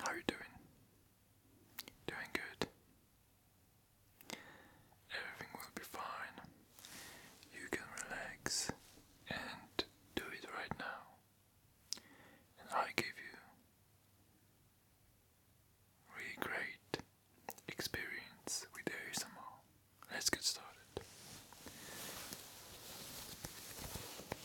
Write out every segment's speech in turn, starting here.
How you doing? Doing good. Everything will be fine. You can relax and do it right now. I give you really great experience with ASMR. Let's get started.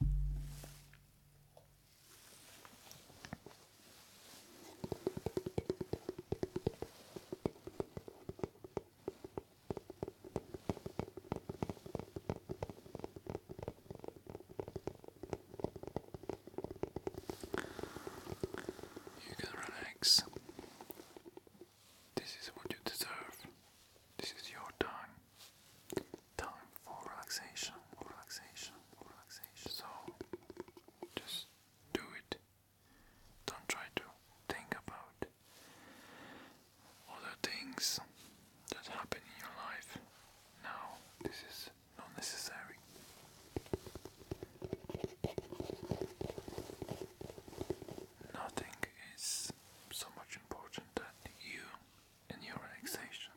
You can relax. This is what you deserve. This is your time time for relaxation, relaxation, relaxation. So just do it. Don't try to think about other things that happen in your life. Now, this is not necessary. Nothing is so much important that you in your relaxation.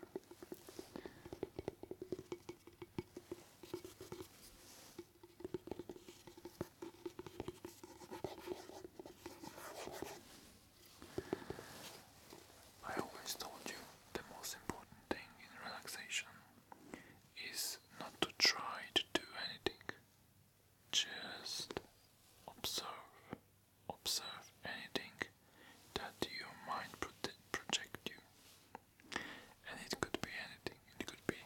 I always told you the most important thing in relaxation is not to try to do anything, just observe observe anything that your mind project you. And it could be anything. It could be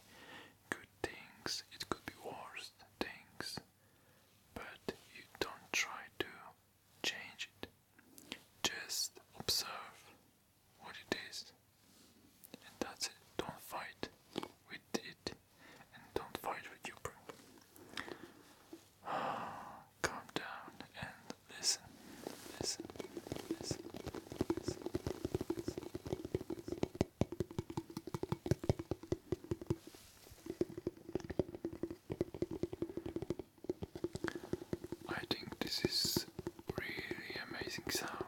good things, it could be worse things. But you don't try to change it. Just observe what it is. And that's it. Don't fight with it and don't fight with your bro. Calm down and listen, listen, listen, listen, listen. I think this is really amazing sound.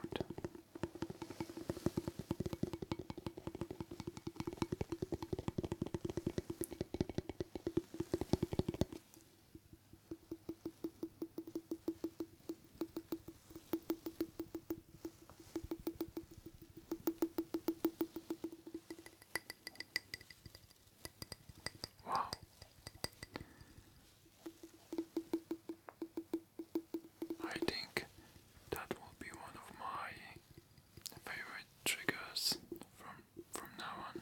Wow. I think that will be one of my favorite triggers from from now on.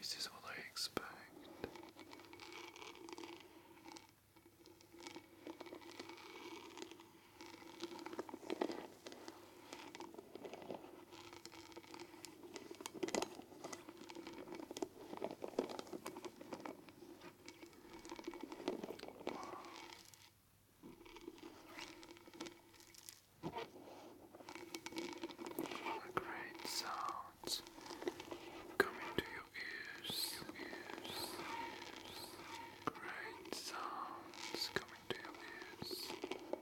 This is what I expect. Great sounds coming to your ears, Great sounds coming coming to your ears. Now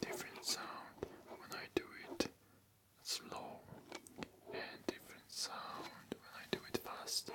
Different sound when I do it slow, and different sound when I do it faster.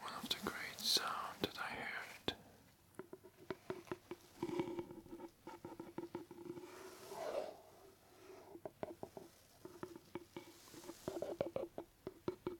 One of the great sounds that I heard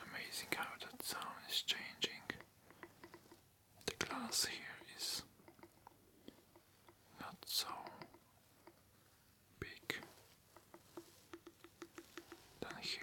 Amazing how that sound is changing. The glass here is not so big than here.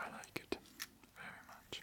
I like it very much.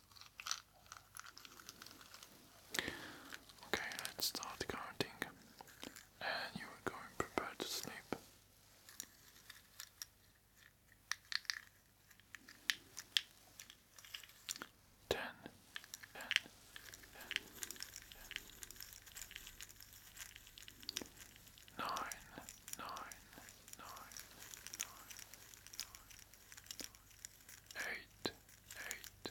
Okay, let's start counting, and you are going prepared to sleep. Ten, ten, ten, ten. Nine, eight, eight, eight, eight,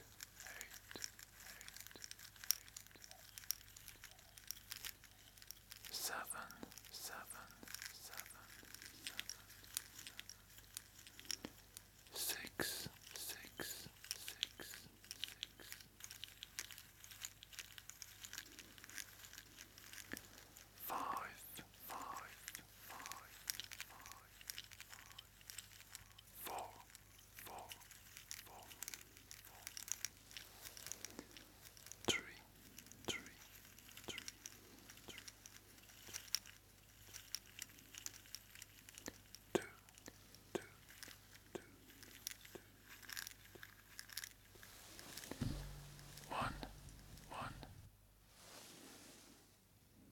seven, seven, seven, seven, six, six, six, six. Five, five, five, five, five, five, four, four, four, four. Three, three, three, three. Two, two, two, two. One, one.